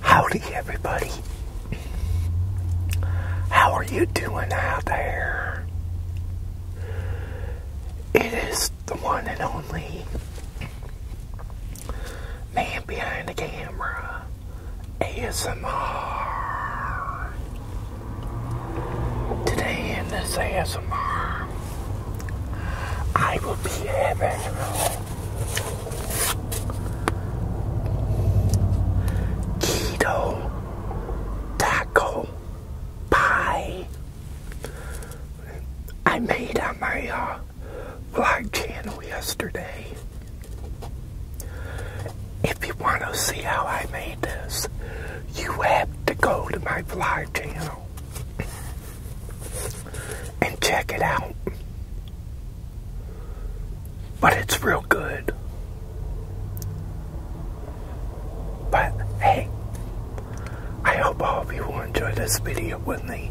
Howdy, everybody. How are you doing out there? It is the one and only man behind the camera, ASMR. Today in this ASMR, I will be having keto taco pie. I made on my uh, channel yesterday. If you want to see how I made this, you have to go to my vlog channel and check it out. But it's real good. But hey, I hope all of you will enjoy this video with me.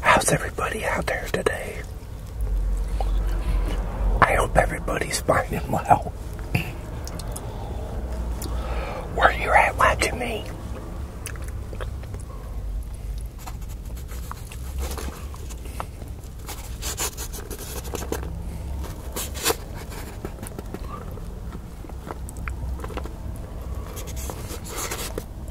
How's everybody out there today? I hope everybody's fine and well. Where you at watching me.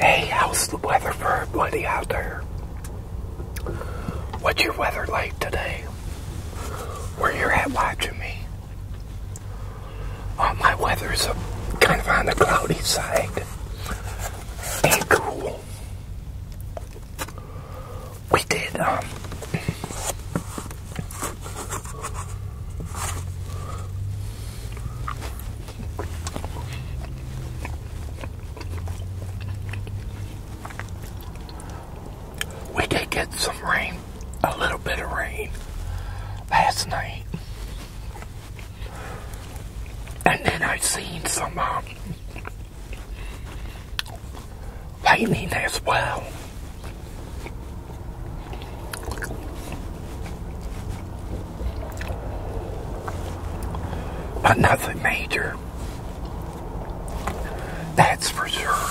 Hey, how's the weather for everybody out there? What's your weather like today? Where you at watching me? Oh, my weather is kind of on the cloudy side and cool. We did, um, we did get some rain, a little bit of rain last night. And then I seen some um, lightning as well. But nothing major. That's for sure.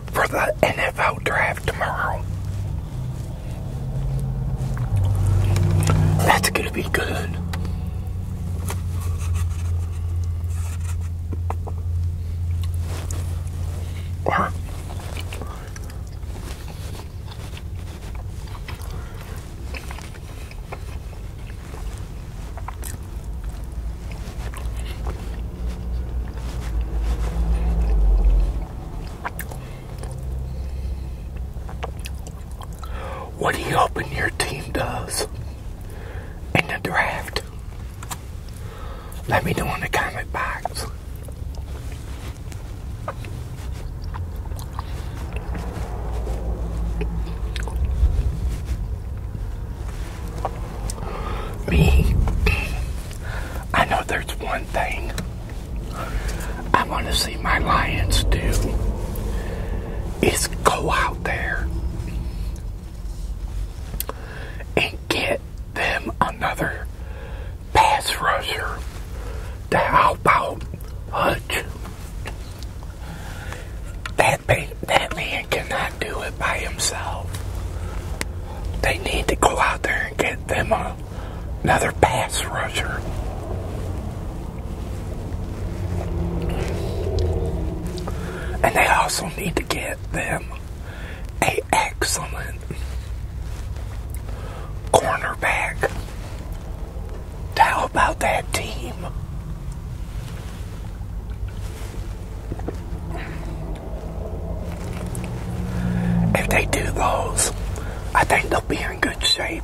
for the NFL draft tomorrow. That's going to be good. What are you hoping your team does in the draft? Let me know in the comment box me, I know there's one thing I want to see my Lions do is go out there and get them another pass rusher to help out Hutch that, man cannot do it by himself. They need to go out there and get them a, another pass rusher. And they also need to get them a excellent cornerback. How about that team? If they do those, I think they'll be in good shape.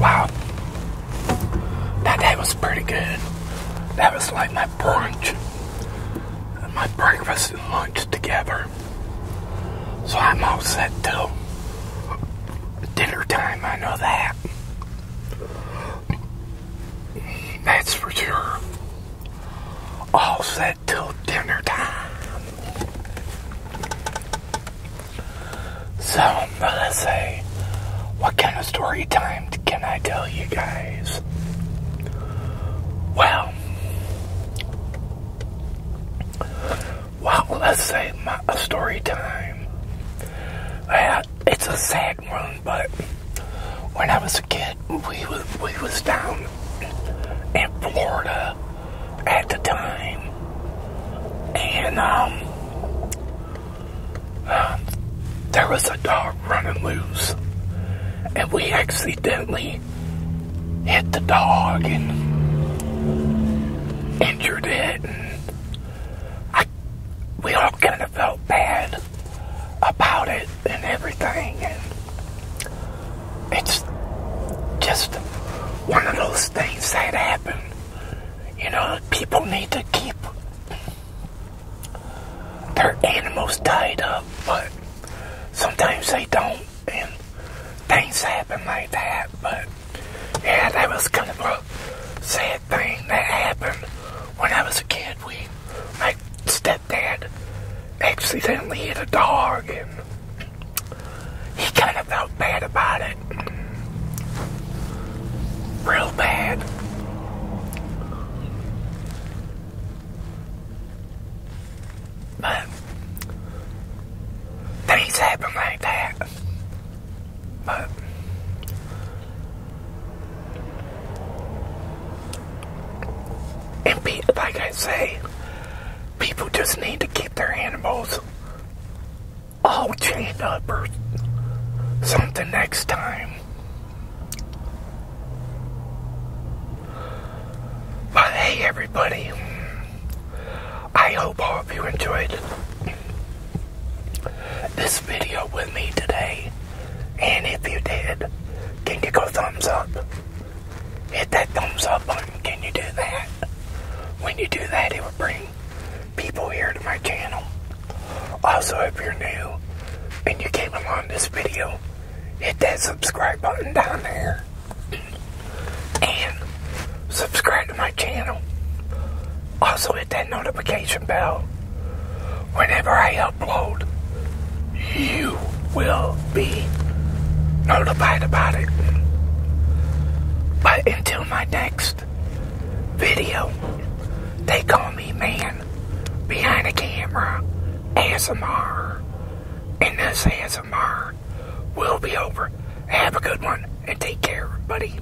Wow. Now that was pretty good. That was like my brunch. My breakfast and lunch together. So I'm all set till dinner time, I know that. That's for sure. All set till dinner time. So, let's say, what kind of story time can I tell you guys? Well, well, let's say my, story time. Uh, it's a sad but when I was a kid, we was, we was down in Florida at the time, and um, there was a dog running loose, and we accidentally hit the dog and injured it we all kind of felt bad about it and everything. And it's just one of those things that happen. You know, people need to keep their animals tied up, but sometimes they don't, and things happen like that. But yeah, that was kind of a sad bad thing that happened when I was a kid. We, my stepdad, accidentally hit a dog, and he kind of felt bad about it, real bad. But things happen like that. But and be, like I say, people just need to keep their animals all chained up or something next time. But hey, everybody, I hope you enjoyed this video with me today. And if you did, can you go thumbs up? Hit that thumbs up button. Can you do that? When you do that, it will bring people here to my channel. Also, if you're new and you came along this video, hit that subscribe button down there. And subscribe to my channel. Also hit that notification bell. Whenever I upload, you will be notified about it. But until my next video, they call me man behind the camera ASMR. And this ASMR will be over. Have a good one and take care, buddy.